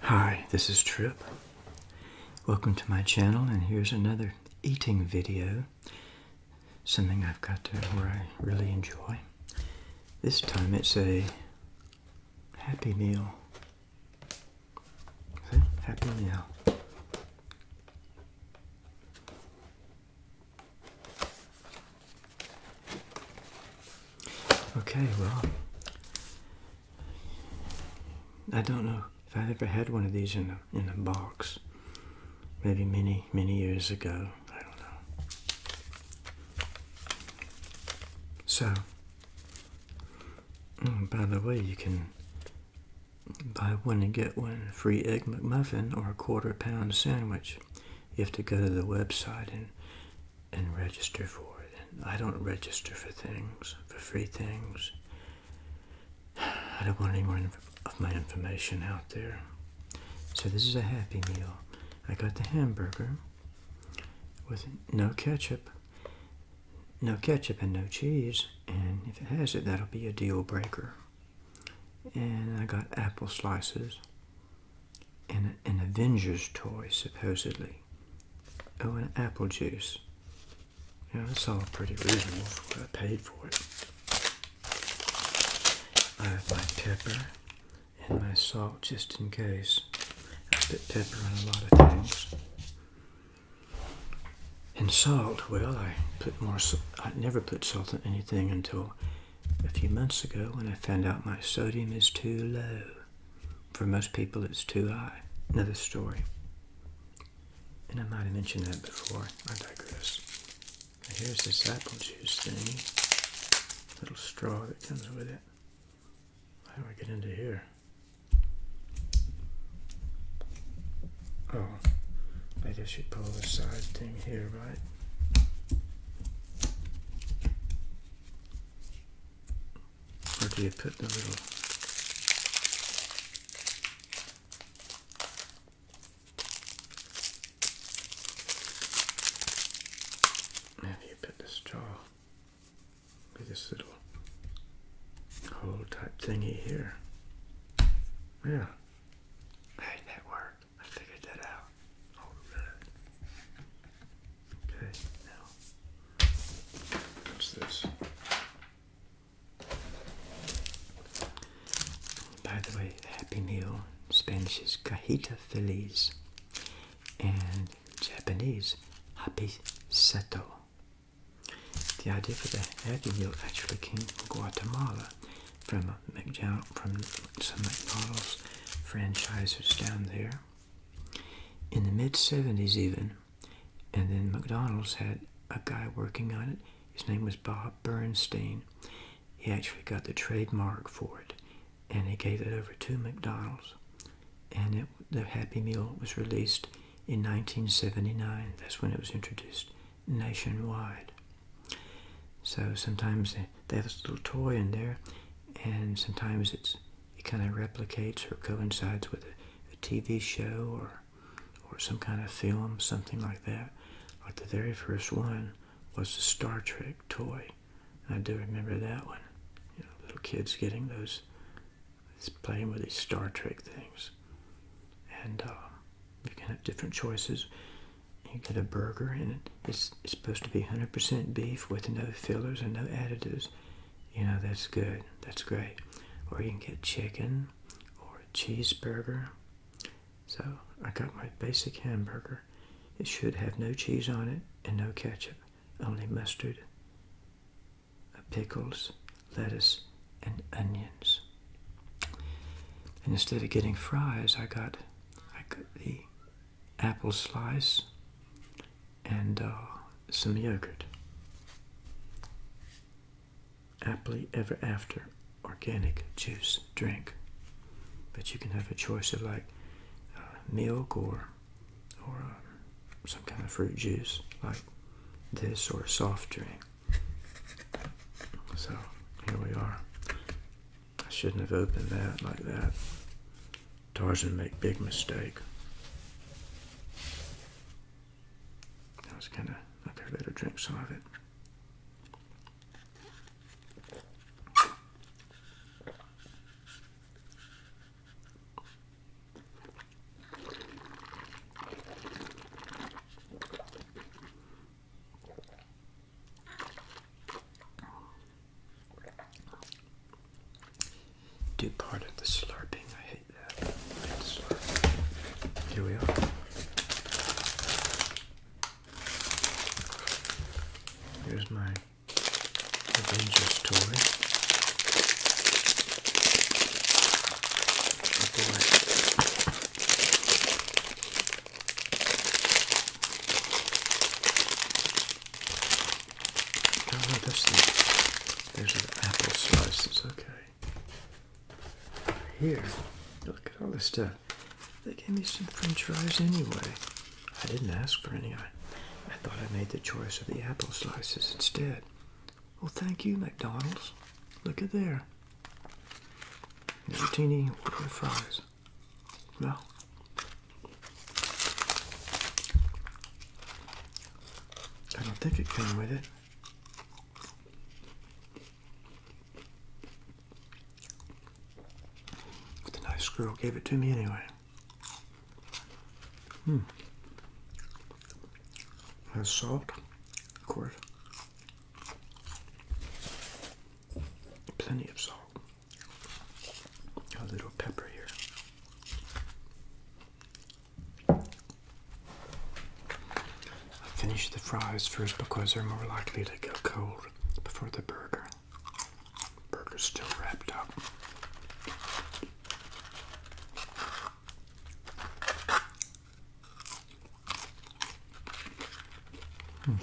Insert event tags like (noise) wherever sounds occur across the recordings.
Hi, this is Trip. Welcome to my channel and here's another eating video. Something I've got to where I really enjoy. This time it's a Happy Meal. Happy Meal. Okay, well, I don't know if I've ever had one of these in a, in a box. Maybe many, many years ago. I don't know. So, mm, by the way, you can buy one and get one free egg McMuffin or a quarter pound sandwich. You have to go to the website and and register for it. And I don't register for things, for free things. (sighs) I don't want any more of my information out there. So this is a happy meal. I got the hamburger with no ketchup, no ketchup and no cheese, and if it has it, that'll be a deal breaker. And I got apple slices an Avengers toy, supposedly. Oh, an apple juice. Yeah, that's all pretty reasonable for what I paid for it. I have my pepper and my salt just in case. I put pepper on a lot of things. And salt, well, I put more. I never put salt on anything until a few months ago when I found out my sodium is too low. For most people, it's too high. Another story. And I might have mentioned that before. I digress. here's this apple juice thing. Little straw that comes with it. How do I get into here? Oh, I guess you pull the side thing here, right? Where do you put the little? Where you put this straw? With this little hole type thingy here. Yeah. how that work? I figured that out. Oh, Okay, now, what's this? By the way, Happy Meal in Spanish is cajita feliz, and Japanese, happy seto. The idea for the Happy Meal actually came from Guatemala, from from some McDonald's franchisers down there in the mid 70s, even. And then McDonald's had a guy working on it. His name was Bob Bernstein. He actually got the trademark for it and he gave it over to McDonald's. And the Happy Meal was released in 1979. That's when it was introduced nationwide. So sometimes they have this little toy in there, and sometimes it's it kind of replicates or coincides with a, TV show or or some kind of film, something like that. Like the very first one was the Star Trek toy. I do remember that one. You know, little kids getting those, playing with these Star Trek things. And uh, you can have different choices. You get a burger, in it it's, supposed to be 100% beef with no fillers and no additives. You know, that's good. That's great. Or you can get chicken or a cheeseburger. So I got my basic hamburger. It should have no cheese on it and no ketchup, only mustard, uh, pickles, lettuce, and onions. And instead of getting fries, I got, I got the apple slice and uh, some yogurt. Aptly ever after organic juice drink. But you can have a choice of like uh, milk or or um, some kind of fruit juice like this or a soft drink. So here we are. I shouldn't have opened that like that. Tarzan make big mistake. I was kind of up here. Let her drink some of it. Do part of the slurping. I hate that. Here we are. Here's my Avengers toy. Oh boy. Oh, no, that's the, there's an apple slices. okay. Here, look at all this stuff. They gave me some french fries anyway. I didn't ask for any. I, thought I made the choice of the apple slices instead. Well, thank you, McDonald's. Look at there. Nevertini order fries. Yeah. I don't think it came with it. the nice girl gave it to me anyway. Hmm. Has salt, of course. Plenty of salt a little pepper here. I finish the fries first because they're more likely to get cold before the burger. Burger's still wrapped up. Hmm.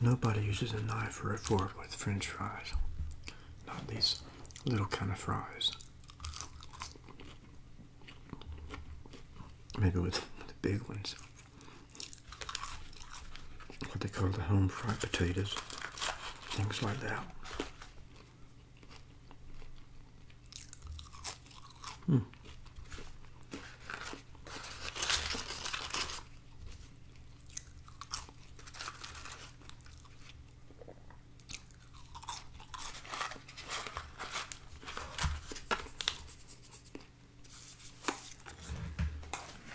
Nobody uses a knife or a fork with french fries, not these little kind of fries. Maybe with (laughs) the big ones what they call the home fried potatoes, things like that. Hmm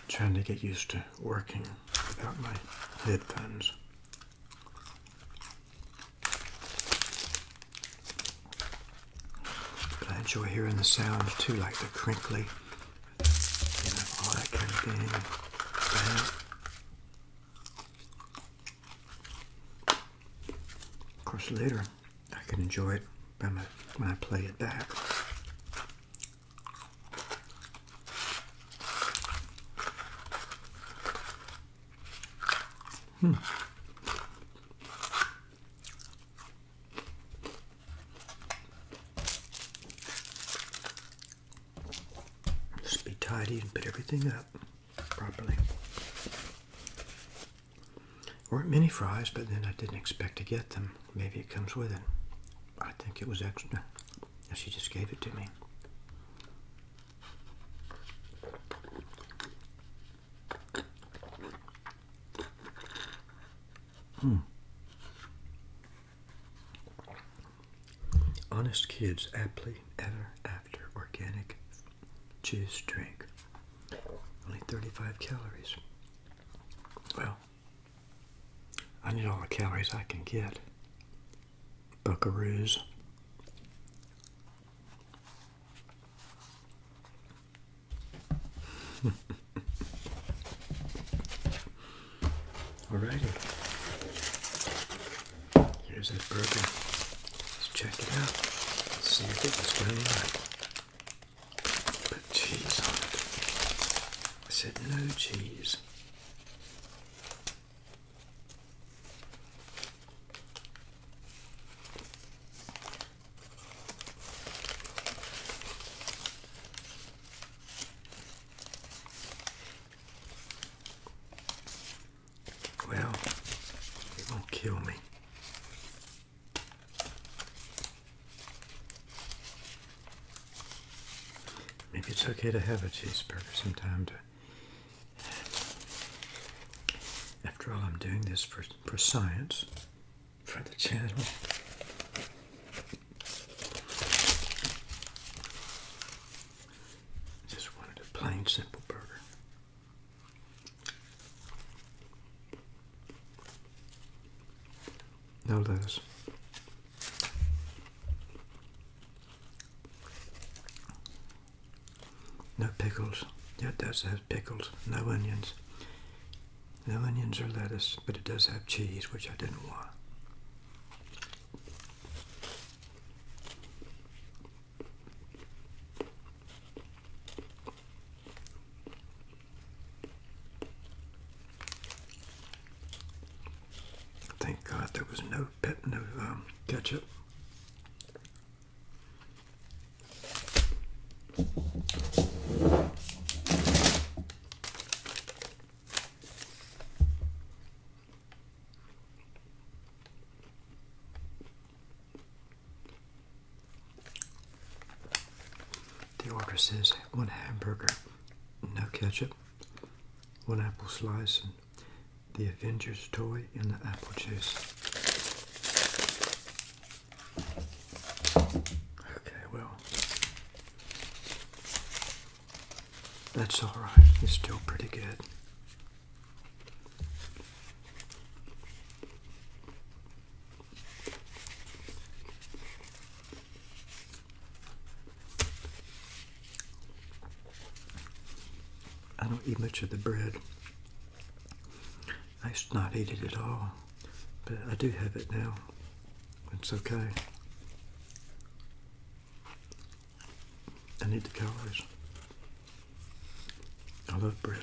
trying to get used to working without my headphones. But I enjoy hearing the sound too, like the crinkly, you know, all that kind of thing. Of course, later I can enjoy it when I, when I play it back. Hmm. Just be tidy and put everything up properly. Weren't many fries, but then I didn't expect to get them. Maybe it comes with it. I think it was extra. She just gave it to me. Hmm. Honest Kids aptly ever after organic juice drink. Only 35 calories. Well, I need all the calories I can get. Buckaroos. (laughs) righty. Here's this burger. Let's check it out. see if it was done right. Put cheese on it. I said no cheese. Well, it won't kill me. Maybe it's okay to have a cheeseburger sometime to after all I'm doing this for, for science for the channel. Just wanted a plain simple burger. No lettuce. No pickles. Yeah, does have pickles. No onions. No onions or lettuce, but it does have cheese, which I didn't want. Thank God there was no pet, no um, ketchup. The order says one hamburger, no ketchup, one apple slice, and the Avengers toy in the apple juice. Okay, well, that's all right. It's still pretty good. I don't eat much of the bread. I should not eat it at all, but I do have it now. It's okay. I need the calories. I love bread.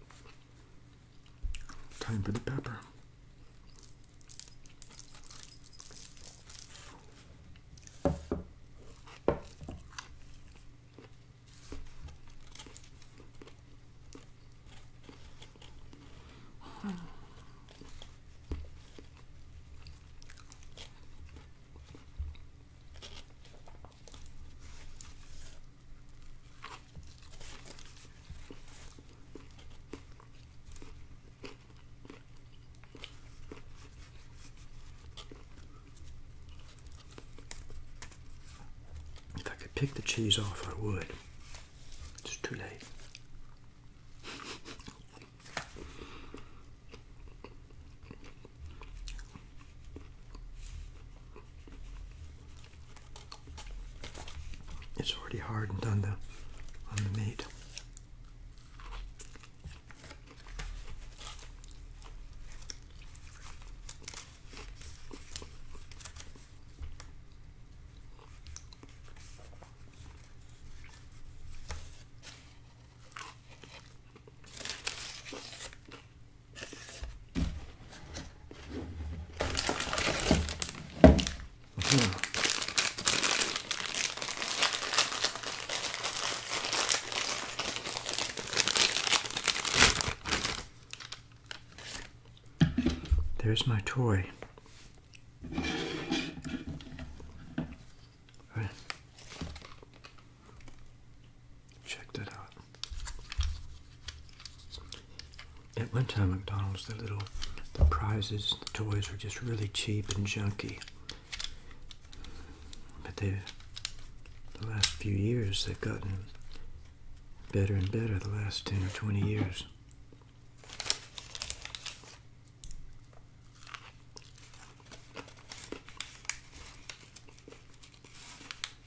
Time for the pepper. If I could pick the cheese off, I would. It's too late. It's already hardened on the on the meat. There's my toy. Check that out. At one time, McDonald's, the little prizes, the toys were just really cheap and junky. But they, the last few years, they've gotten better and better. The last ten or twenty years.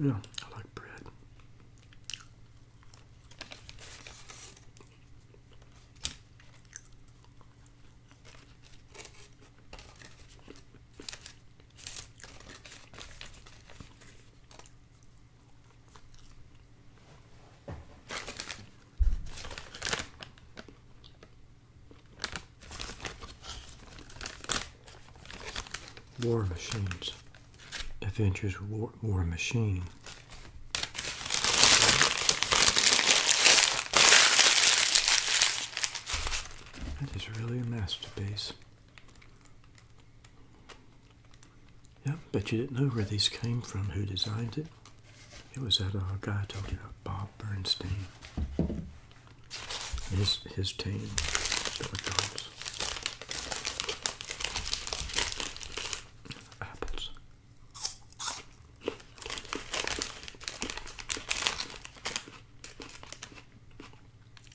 Yeah, I like bread. War Machines. Adventures War, Machine. That is really a masterpiece. Yeah, bet you didn't know where these came from, who designed it. It was that guy talking about, Bob Bernstein. His, his team, Apples.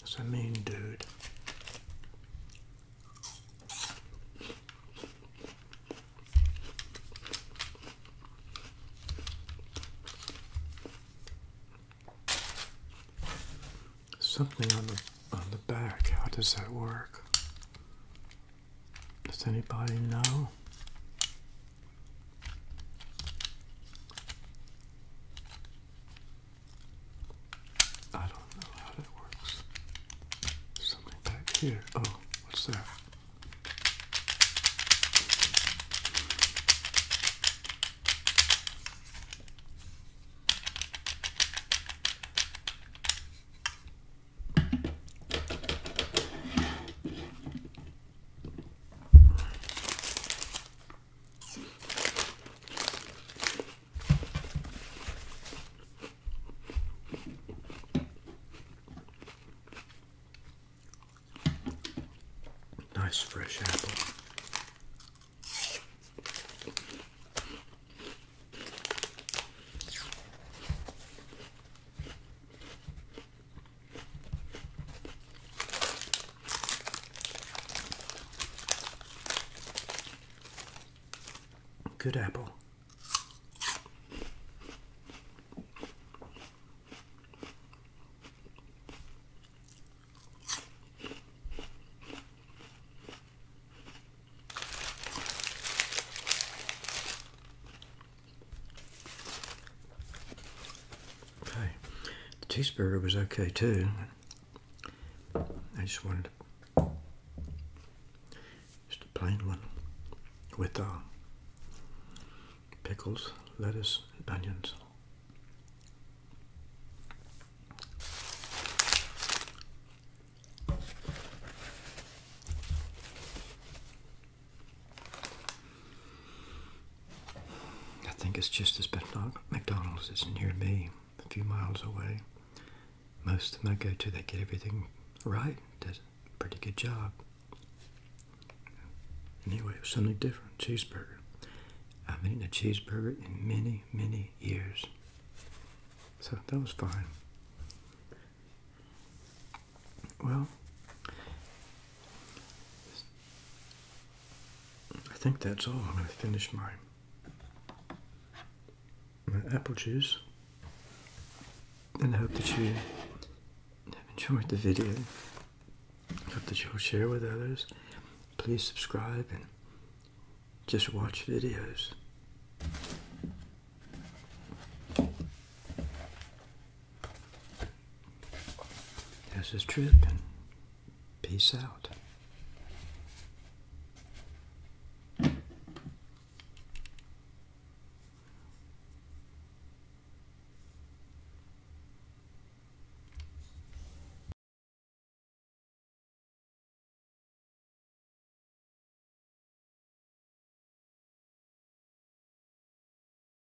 That's a mean dude. Something on the on the back. How does that work? Does anybody know? I don't know how that works. Something back here. Oh, what's that? Nice fresh apple. Good apple. Okay, the cheeseburger was okay too. I just wanted just a plain one with uh, pickles, lettuce, and onions. I think it's just as McDonald's is near me, a few miles away. Most of them I go to, they get everything right, does a pretty good job. Anyway, it was something different, cheeseburger. I've been eaten a cheeseburger in many, many years. So that was fine. Well, I think that's all. I'm going to finish my my apple juice, and I hope that you have enjoyed the video. I hope that you'll share with others. Please subscribe and just watch videos. This is Trip, and peace out.